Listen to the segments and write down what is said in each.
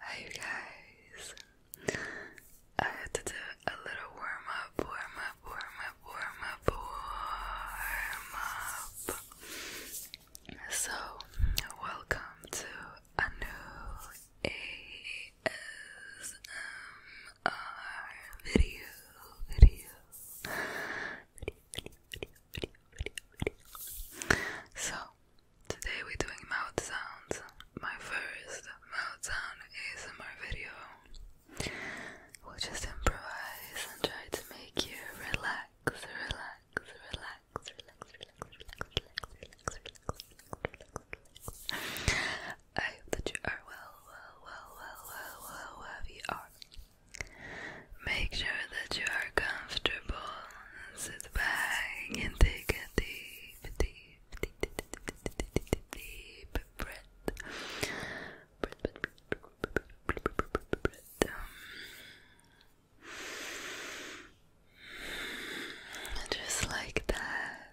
Hi you guys. I had to do a little warm up, warm up, warm up, warm up, warm up. So welcome to a new ASMR video, video, video, video, video, video. So, today we're doing mouth sounds. My first mouth sound ASMR video. We'll just improvise and try to make you relax, relax, relax, relax, relax, relax, relax, relax, relax, relax, relax, relax. I hope that you are well, well, well, well, well, well, wherever you are. Make sure that you are comfortable. Sit back and take a deep, deep, deep, deep, deep, deep, deep, breath. just like that.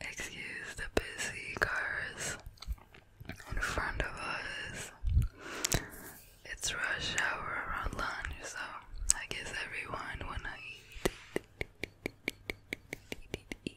Excuse the busy cars in front of us. It's rush hour around lunch, so I guess everyone wanna eat. eat.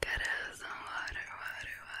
Gotta some water, water, water.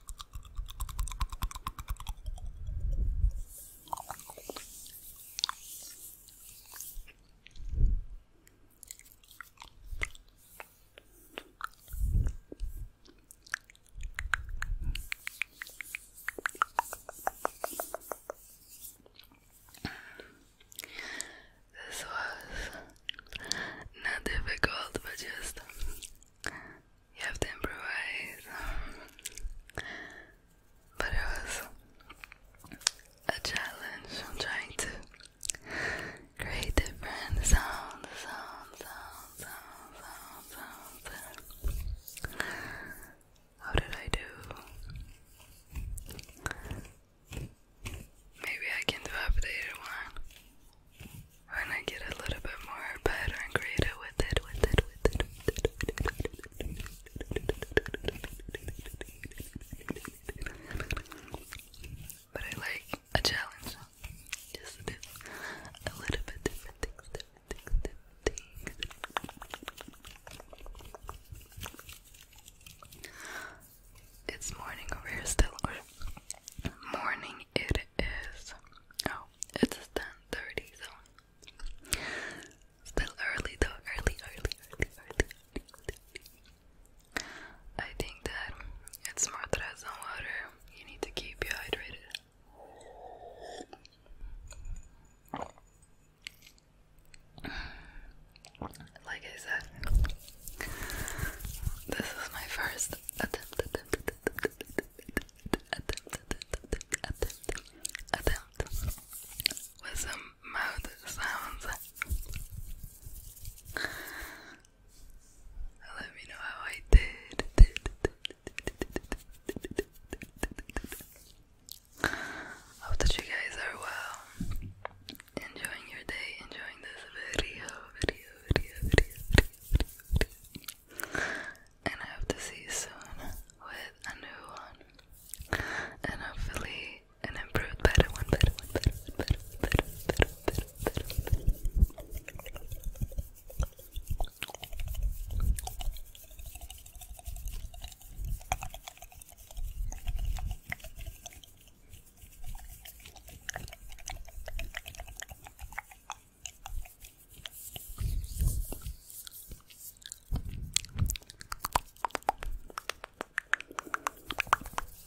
This was not difficult, but just you have to improvise. But it was a challenge. trying to create different sounds, sounds, sounds, sounds, sounds, sounds. How did I do? Maybe I can do updated one when I get a little bit more better and greater with it, with it, with it, with it, But I like a challenge. Just a bit, a little bit It's morning over here still, or morning it is oh it's a ten thirty zone. Still early though, early, early, early, early, early, early. I think that it's more stress on water. You need to keep you hydrated. Like I said, this is my first attempt, with some mouth sounds. Let me know how I did. Hope that you guys are well enjoying your day, enjoying this video, video, video, video, video, video, video. And I hope to see you soon with a new one. And hopefully an improved better one, better one, better one, better one, better one, better one, better one, better one, better one, better one.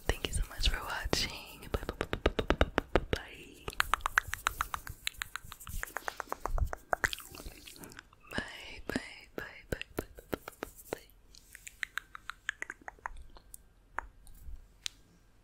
Thank you so much for watching. Bye bye bye bye bye bye. bye, bye, bye, bye, bye, bye, bye.